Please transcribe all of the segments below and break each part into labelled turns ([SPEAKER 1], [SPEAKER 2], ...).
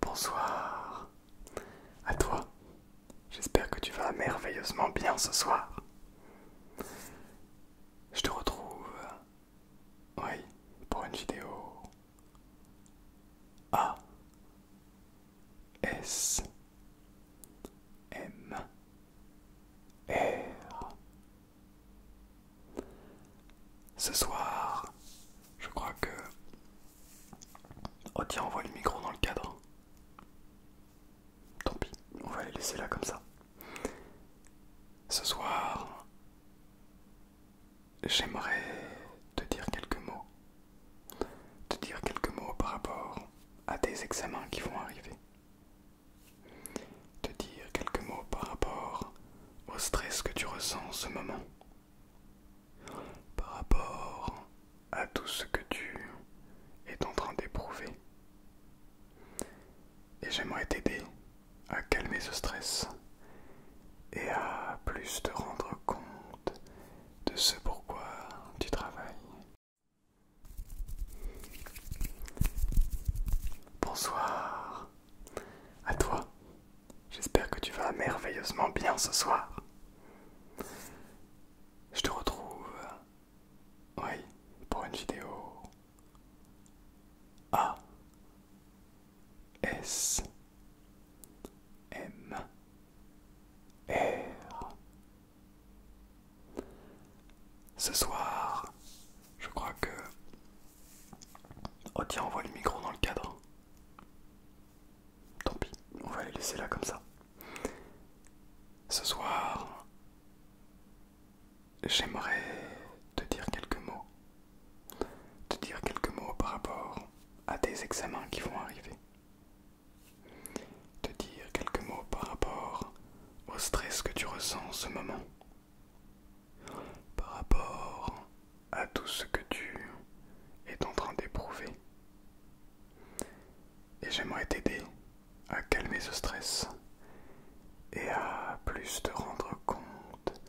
[SPEAKER 1] Bonsoir à toi. J'espère que tu vas merveilleusement bien ce soir. Je te retrouve, oui, pour une vidéo A ce soir, je crois que... Oh tiens, on voit le micro dans le cadre. Tant pis, on va les laisser là comme ça. Ce soir, j'aimerais te dire quelques mots. Te dire quelques mots par rapport à tes examens qui vont arriver te dire quelques mots par rapport au stress que tu ressens en ce moment, par rapport à tout ce que tu es en train d'éprouver. Et j'aimerais t'aider à calmer ce stress et à plus te rendre compte de ce pourquoi tu travailles. Bonsoir à toi. J'espère que tu vas merveilleusement bien ce soir. Je te retrouve. Euh, oui, pour une vidéo. A. S. M. R. Ce soir, je crois que... Oh tiens, on voit le micro dans le cadre. Tant pis, on va les laisser là comme ça. Ce soir, j'aimerais te dire quelques mots. Te dire quelques mots par rapport à tes examens qui vont arriver. Te dire quelques mots par rapport au stress que tu ressens en ce moment par rapport à tout ce que tu es en train d'éprouver. Et j'aimerais t'aider à calmer ce stress et à plus te rendre compte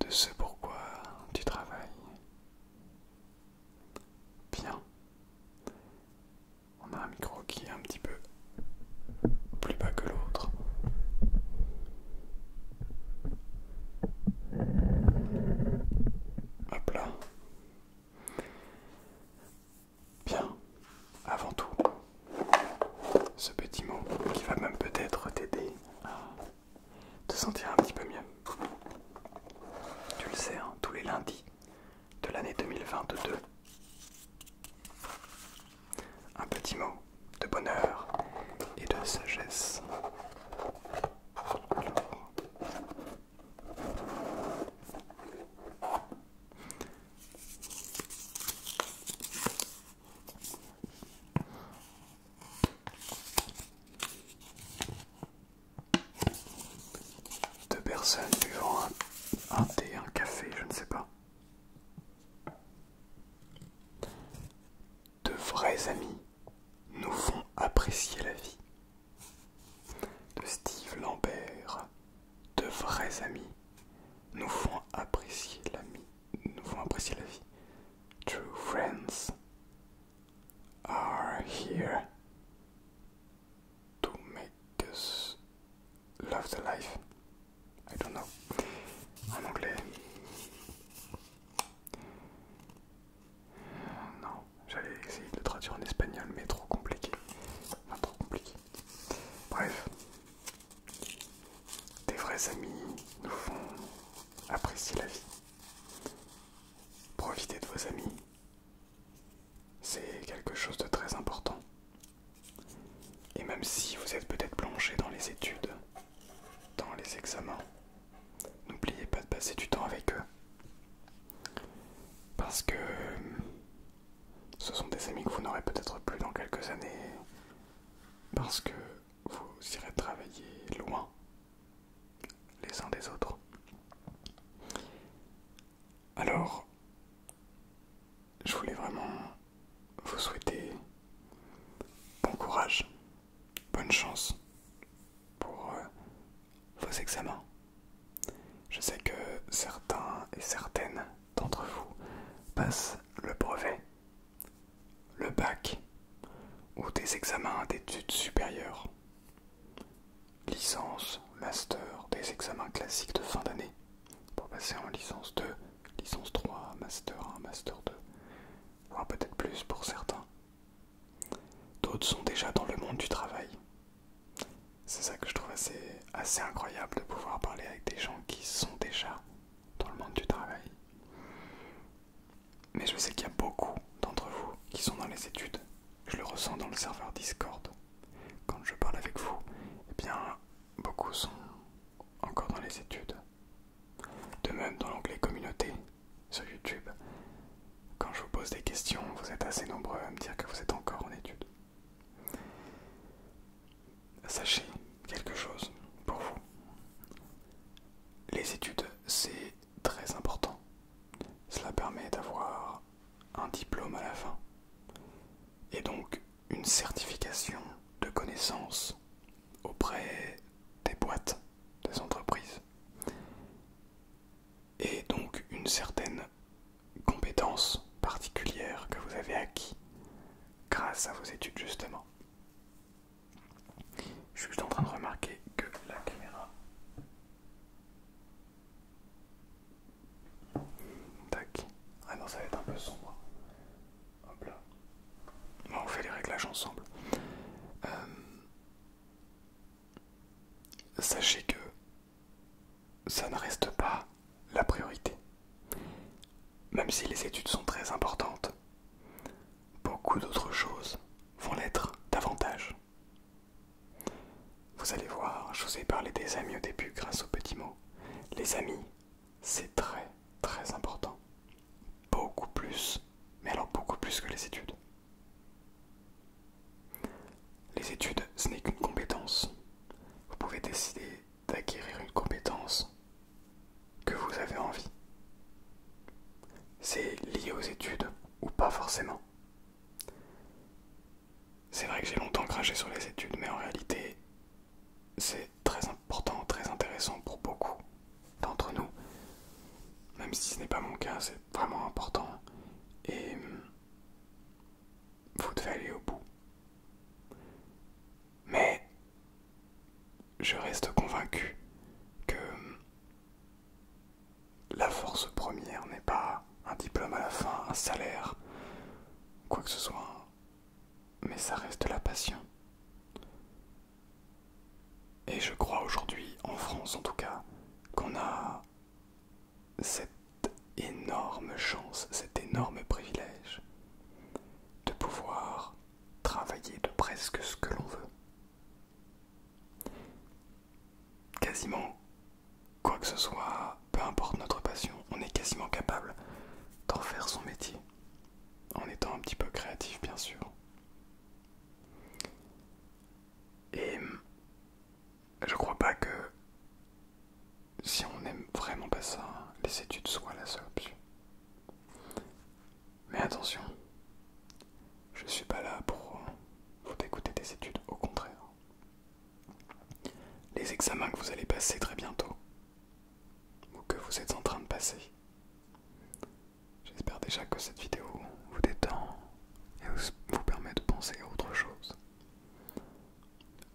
[SPEAKER 1] de ce pourquoi tu travailles. Bien. On a un micro qui est un petit peu plus bas que l'autre. Hop là. Bien, avant tout, ce petit mot qui va même peut-être t'aider à te sentir un petit peu mieux. Tu le sais, hein, tous les lundis de l'année 2022, un petit mot de bonheur et de sagesse. Deux personnes buvant un, un thé, un café, je ne sais pas. De vrais amis nous font apprécier la vie. De Steve Lambert. De vrais amis nous font apprécier la vie. True friends are here to make because love the life. I don't know. En anglais. Non, j'allais essayer de le traduire en espagnol, mais trop compliqué. trop compliqué. Bref, des vrais amis nous font apprécier la vie. Profitez de vos amis, c'est quelque chose de très important. Et même si vous êtes peut-être plongé dans les études, dans les examens, n'oubliez pas de passer du temps avec eux. Parce que euh, ce sont des amis que vous n'aurez peut-être plus dans quelques années, parce que vous irez travailler loin les uns des autres. Alors, je voulais vraiment vous souhaiter bon courage, bonne chance pour euh, vos examens. Je sais que certains et certaines d'entre vous passent le brevet, le bac ou des examens d'études supérieures, licence, master, des examens classiques de fin d'année pour passer en licence 2, licence 3, master 1, master 2, voire peut-être plus pour certains. D'autres sont déjà dans le monde du travail. C'est ça que je trouve assez, assez incroyable de pouvoir parler avec des gens qui sont déjà dans le monde du travail. Mais je sais qu'il y a beaucoup d'entre vous qui sont dans les études. Je le ressens dans le serveur Discord. Quand je parle avec vous, eh bien, beaucoup sont encore dans les études. De même, dans l'onglet communauté sur YouTube, quand je vous pose des questions, vous êtes assez nombreux à me dire que vous êtes encore en études. Sachez quelque chose pour vous. Les études, c'est très important. Cela permet d'avoir un diplôme à la fin. Et donc une certification de connaissances auprès des boîtes, des entreprises, et donc une certaine compétence particulière que vous avez acquis grâce à vos études justement. Je suis juste en train de remarquer que la caméra Tac. Ah non, ça va être un peu sombre. Hop là. on fait les réglages ensemble. Euh, sachez que ça ne reste pas la priorité. Même si les études sont très importantes, beaucoup d'autres choses vont l'être davantage. Vous allez voir, je vous ai parlé des amis au début grâce aux petits mots. Les amis, c'est très très important. Beaucoup plus, mais alors beaucoup plus que les études. Les études, ce n'est qu'une compétence. Vous pouvez décider d'acquérir une compétence que vous avez envie. C'est lié aux études ou pas forcément. C'est vrai que j'ai longtemps craché sur les études, mais en réalité, c'est très important, très intéressant pour beaucoup d'entre nous. Même si ce n'est pas mon cas, c'est vraiment important. Et vous devez aller au bout. Mais je reste convaincu que la force première n'est pas un diplôme à la fin, un salaire, quoi que ce soit. Mais ça reste la passion. Et je crois aujourd'hui, en France en tout cas, qu'on a cette énorme chance, cet énorme privilège de pouvoir travailler de presque ce que l'on veut. Quasiment quoi que ce soit, peu importe notre passion, on est quasiment capable d'en faire son métier, en étant un petit peu créatif bien sûr. Et je crois pas que si on n'aime vraiment pas ça, les études soient la seule option. Mais attention, je suis pas là pour vous dégoûter des études, au contraire les examens que vous allez passer très bientôt, ou que vous êtes en train de passer. J'espère déjà que cette vidéo vous détend et vous permet de penser à autre chose.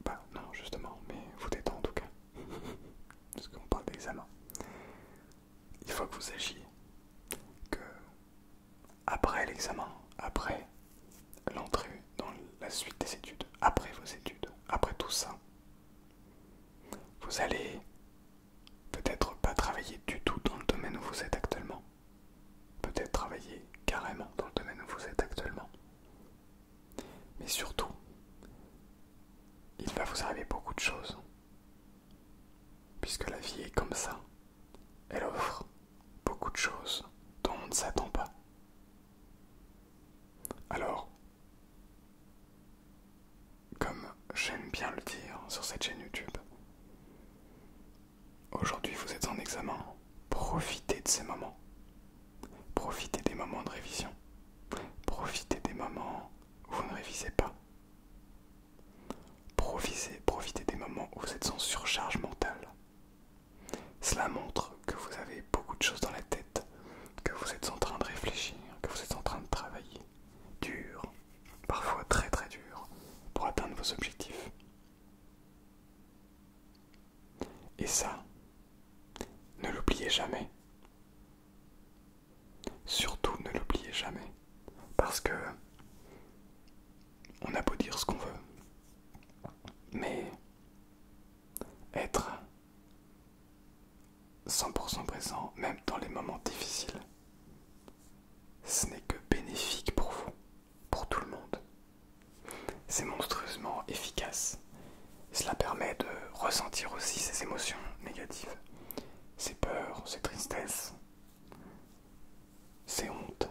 [SPEAKER 1] Bah non justement, mais vous détend en tout cas. Parce qu'on parle d'examen. Il faut que vous sachiez que après l'examen, après l'entrée dans la suite des études, après vos études, après tout ça. Vous allez peut-être pas travailler du tout dans le domaine où vous êtes actuellement. Peut-être travailler carrément dans le domaine où vous êtes actuellement. Mais surtout, il va vous arriver beaucoup de choses. Puisque la vie est comme ça. Elle offre beaucoup de choses dont on ne s'attend pas. Alors, comme j'aime bien le dire sur cette chaîne YouTube, aujourd'hui vous êtes en examen, profitez de ces moments, profitez des moments de révision, profitez des moments où vous ne révisez pas, profitez, profitez des moments où vous êtes en surcharge mentale, cela montre que vous avez beaucoup de choses dans la tête, que vous êtes en train de réfléchir, que vous êtes en train de travailler dur, parfois très très dur, pour atteindre vos objectifs. Et ça, ne l'oubliez jamais. Surtout ne l'oubliez jamais. Parce que on a beau dire ce qu'on veut. Mais être 100% présent même dans les moments difficiles. Ce n'est que bénéfique pour vous, pour tout le monde. C'est monstrueusement efficace. Cela permet de ressentir aussi ses émotions négatives, ses peurs, ses tristesses, ses hontes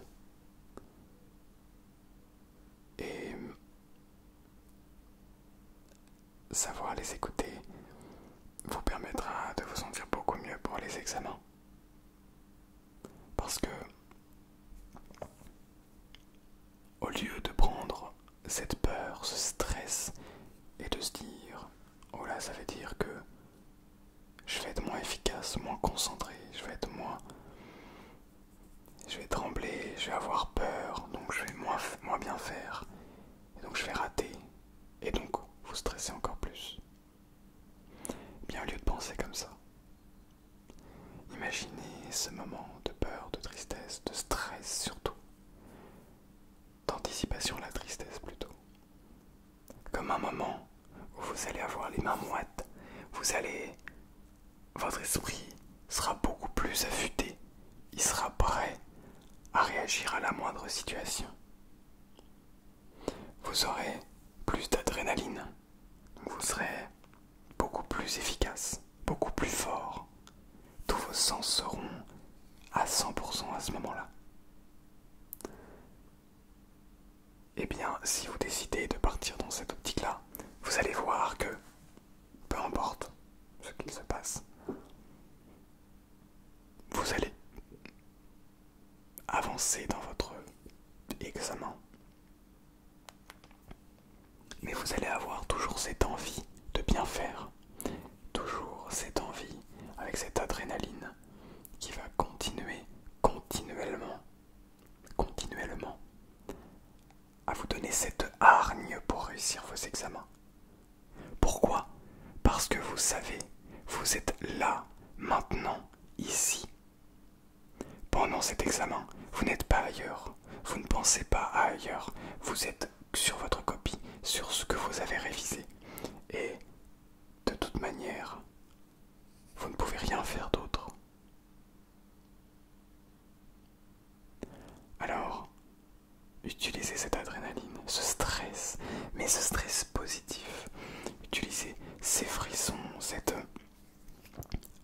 [SPEAKER 1] et savoir les écouter vous permettra de vous sentir beaucoup mieux pour les examens. Parce que au lieu de prendre cette peur, ce stress, et de se dire, oh là, ça veut dire que je vais être moins efficace, moins concentré, je vais être moins je vais trembler, je vais avoir peur, donc je vais moins, bien faire, et donc je vais rater, et donc vous stressez encore plus. bien au lieu de penser comme ça, imaginez ce moment de peur, de tristesse, de stress surtout, d'anticipation de la tristesse plutôt, comme un moment où vous allez avoir les mains moites, vous allez votre esprit sera beaucoup plus affûté, il sera prêt à réagir à la moindre situation. Vous aurez plus d'adrénaline, vous serez beaucoup plus efficace, beaucoup plus fort. Tous vos sens seront à 100% à ce moment-là eh bien, si vous décidez de partir dans cette optique-là, vous allez voir que, peu importe ce qu'il se passe, vous allez avancer dans votre examen. Mais vous allez avoir toujours cette envie de bien faire, toujours cette envie avec cette adrénaline qui va continuer continuellement continuellement à vous donner cette hargne pour réussir vos examens. Pourquoi Parce que vous savez, vous êtes là, maintenant, ici. Pendant cet examen, vous n'êtes pas ailleurs, vous ne pensez pas à ailleurs, vous êtes sur votre copie, sur ce que vous avez révisé. Et de toute manière, vous ne pouvez rien faire d'autre. Alors, utilisez cette adrénaline, ce stress, mais ce stress positif. Utilisez ces frissons, cette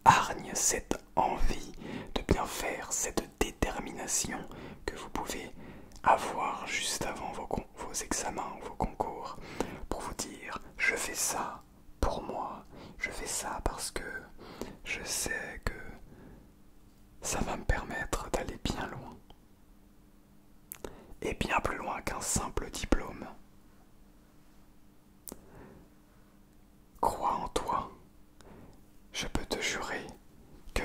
[SPEAKER 1] hargne, cette envie de bien faire, cette détermination que vous pouvez avoir juste avant vos, vos examens, vos concours, pour vous dire, je fais ça, pour moi, je fais ça parce que je sais que ça va me permettre d'aller bien loin. Et bien plus loin qu'un simple diplôme. Crois en toi. Je peux te jurer que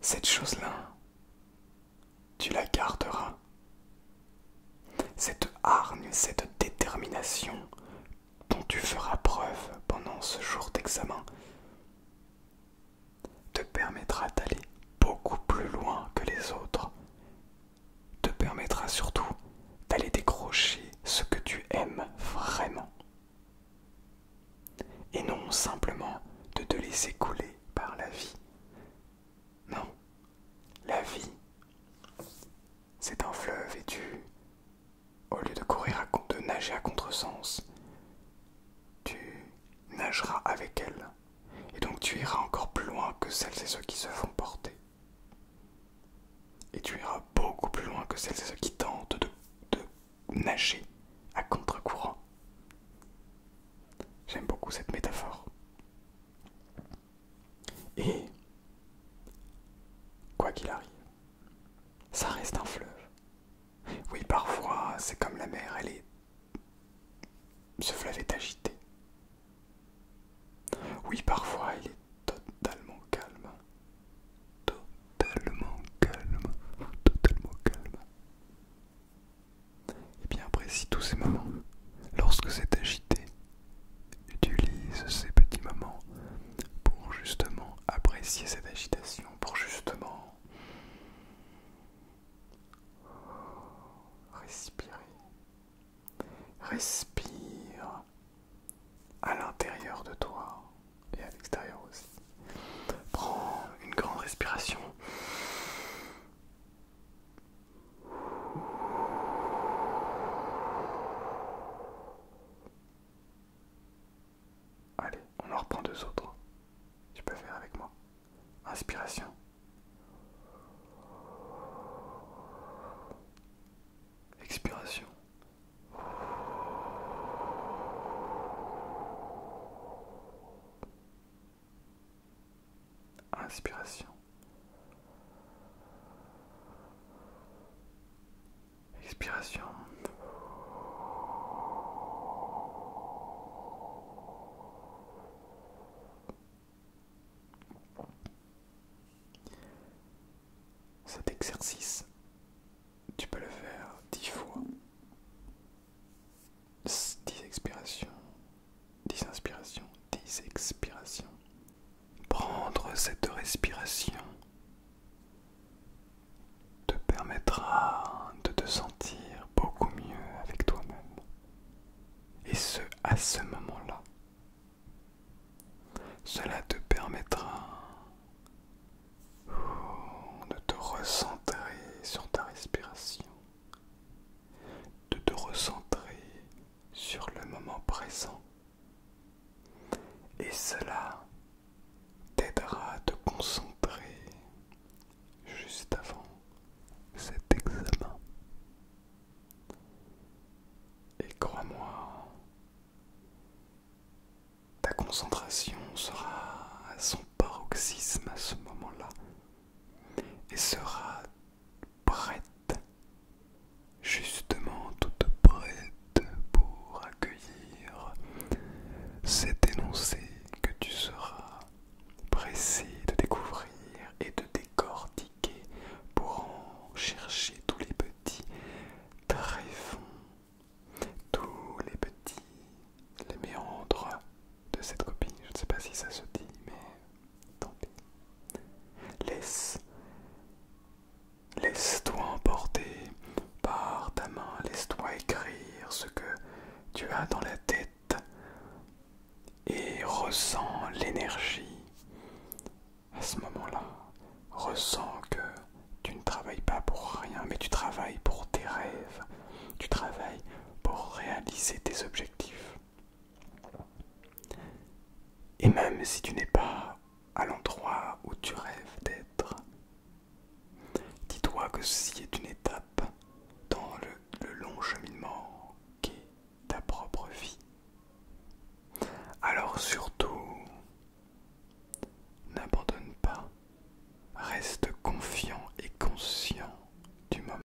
[SPEAKER 1] cette chose-là, tu la garderas cette hargne, cette détermination dont tu feras preuve pendant ce jour d'examen te permettra d'aller beaucoup plus loin que les autres, te permettra surtout d'aller décrocher ce que tu aimes vraiment, et non simplement de te laisser couler par la vie. Non, la vie, c'est un fleuve et tu, au lieu de courir, de nager à contresens, tu nageras avec elle. Et donc tu iras encore plus loin que celles et ceux qui se font porter. Et tu iras beaucoup plus loin que celles et ceux qui tentent de nager à contre-courant. J'aime beaucoup cette métaphore. Et quoi qu'il arrive, ça reste un fleuve. Oui, parfois, c'est comme la mer, elle est... Ce fleuve est agité. Oui, parfois, il est totalement calme. Totalement calme. Totalement calme. Et eh bien apprécie tous ces moments. Lorsque c'est agité, utilise ces petits moments pour justement apprécier cette agitation, pour justement respirer. Respire à l'intérieur de toi et à l'extérieur aussi. Prends une grande respiration. Allez, on en reprend deux autres. Tu peux faire avec moi. Inspiration. Expiration. Inspiration. Expiration. Cet exercice, tu peux le faire dix fois. Dix expirations, 10 inspirations, 10 expirations. Prendre cette respiration te permettra de te sentir beaucoup mieux avec toi-même. Et ce, à ce moment-là. Cela te permettra oh, de te recentrer sur ta respiration de te recentrer sur le moment présent. Et cela t'aidera à te concentrer juste avant cet examen. Et crois-moi, ta concentration sera à son paroxysme à ce moment-là et sera prête, justement toute prête pour accueillir cet énoncé que tu seras pressé de découvrir et de décortiquer pour en chercher tous les petits tréfonds, tous les petits les méandres de cette copie. Je ne sais pas si ça se dit, mais tant pis. Laisse. Laisse-toi emporter par ta main, laisse-toi écrire ce que tu as dans la tête et ressens l'énergie. À ce moment-là, ressens que tu ne travailles pas pour rien, mais tu travailles pour tes rêves, tu travailles pour réaliser tes objectifs. Et même si tu n'es pas à l'endroit où tu rêves d'être, dis-toi que ceci est une étape dans le, long cheminement qu'est ta propre vie. Alors surtout, n'abandonne pas, reste confiant et conscient du moment.